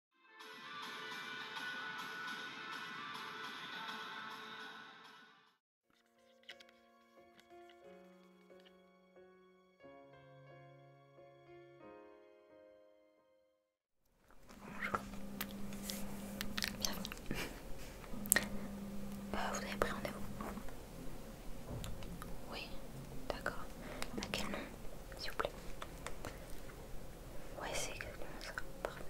Bonjour, bienvenue. vous avez pris rendez-vous Oui, d'accord. À quel nom, s'il vous plaît Ouais, c'est exactement ça. Parfait.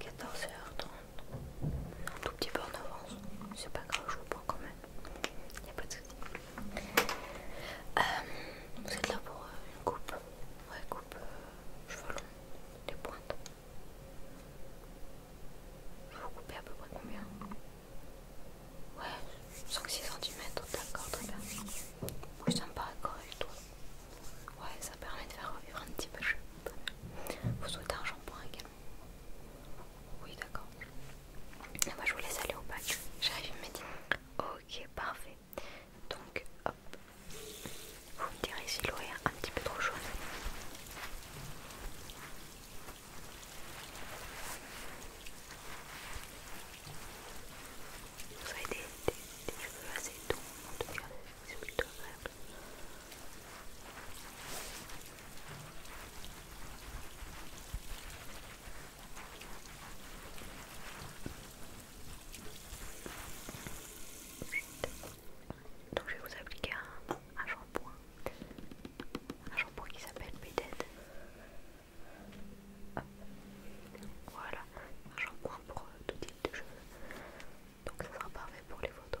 14h30. Un tout petit peu en avance. C'est pas grave, je vous prends quand même. il Y a pas de soucis. Euh, Donc c'est êtes là pour euh, une coupe Ouais, coupe euh, cheveux longs, les pointes. Je vous couper à peu près combien Ouais, 5-6 cm, d'accord, très bien. Oui, ça me paraît correct, ouais. ça permet de faire revivre un petit peu le jeu. Vous souhaitez un shampoing également Oui, d'accord. Moi, je vous laisse aller au bac, J'arrive dit Ok, parfait. Donc, hop. Vous me direz si l'eau est un petit peu trop jaune vous avez des, cheveux assez doux, en tout cas, c'est plutôt agréable. Donc je vais vous appliquer un, shampoing, un shampoing qui s'appelle Bedhead. Voilà, j'en shampoing pour euh, tout type de cheveux. Donc ça sera parfait pour les photos.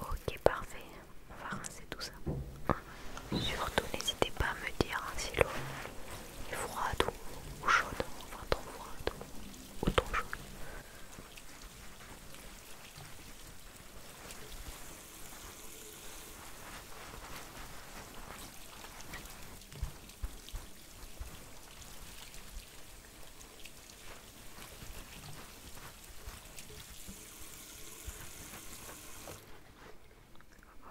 Ok parfait, on va rincer tout ça. Surtout n'hésitez pas à me dire hein, si l'eau est froide ou, chaude, enfin trop froide ou trop chaude.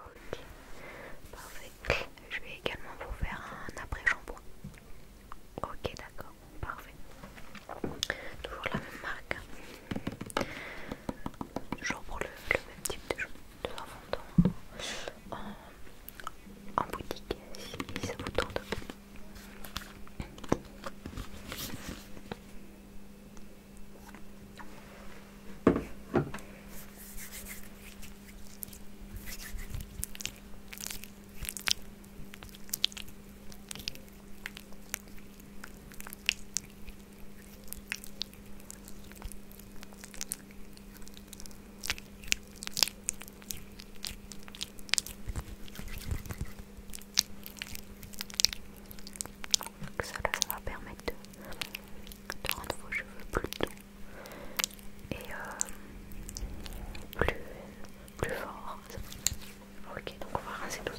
Ok, parfait. Je vais également vous faire un après-shampoing. Ok, d'accord parfait. Toujours la même marque. Toujours pour le, même type de jeu. de en en, boutique si ça vous tente ça, ça va permettre de, rendre vos cheveux plus doux et euh, plus, plus forts. Ok, donc on va rincer tout.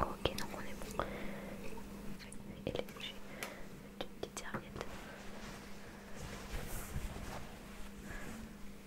Ok, donc on est bon. Elle est bougies d'une petite serviette.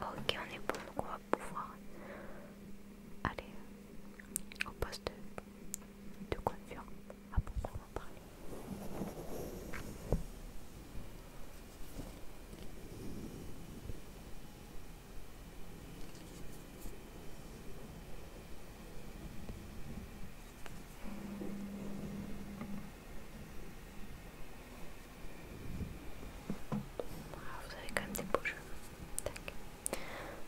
Ok, on est bon, donc on va pouvoir aller au poste de confiance à ah, en parler. Ah, vous avez quand même des beaux cheveux.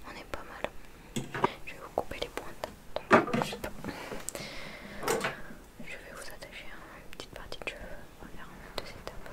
On est pas mal. Je vais vous couper les pointes. je, vais vous attacher une petite partie de cheveux. On va faire en deux étapes.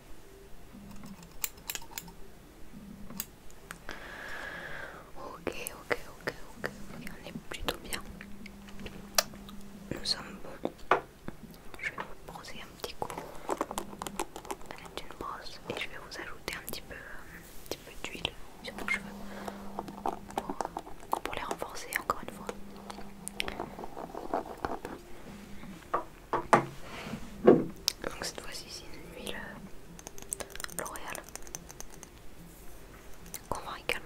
Ok, ok, ok, ok, on est plutôt bien. Nous sommes bons. Je vais vous brosser un petit coup avec une brosse et je vais vous ajouter un petit peu, euh, d'huile sur vos cheveux pour les renforcer encore une fois. Donc cette fois-ci c'est une huile euh, L'Oréal qu'on va également.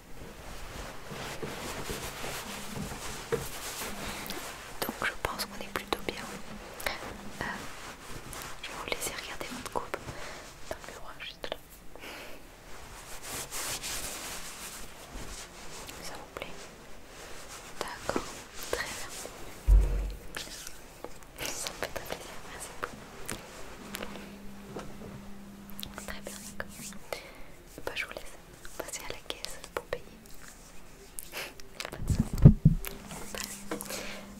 Donc je pense qu'on est plutôt bien. Euh, je vais vous laisser regarder votre coupe dans le miroir juste là. Ça vous plaît D'accord, très bien. Ça me fait très plaisir, merci beaucoup. Très bien, d'accord. Bah, je vous laisse passer à la caisse pour payer.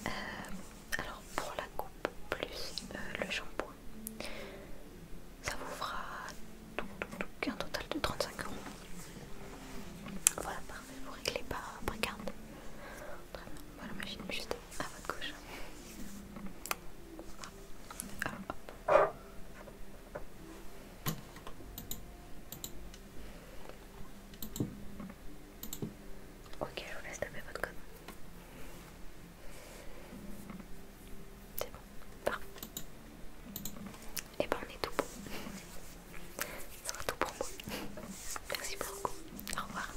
Euh, alors, pour la coupe plus euh, le shampoing, ça vous fera un total de 35 euros. Voilà, parfait, vous réglez par, carte. Très bien, voilà, machine juste à votre gauche. Ok, je vous laisse taper votre code. C'est bon, parfait. Et eh ben on est tout bon. Ça va tout pour moi. Merci beaucoup. Au revoir.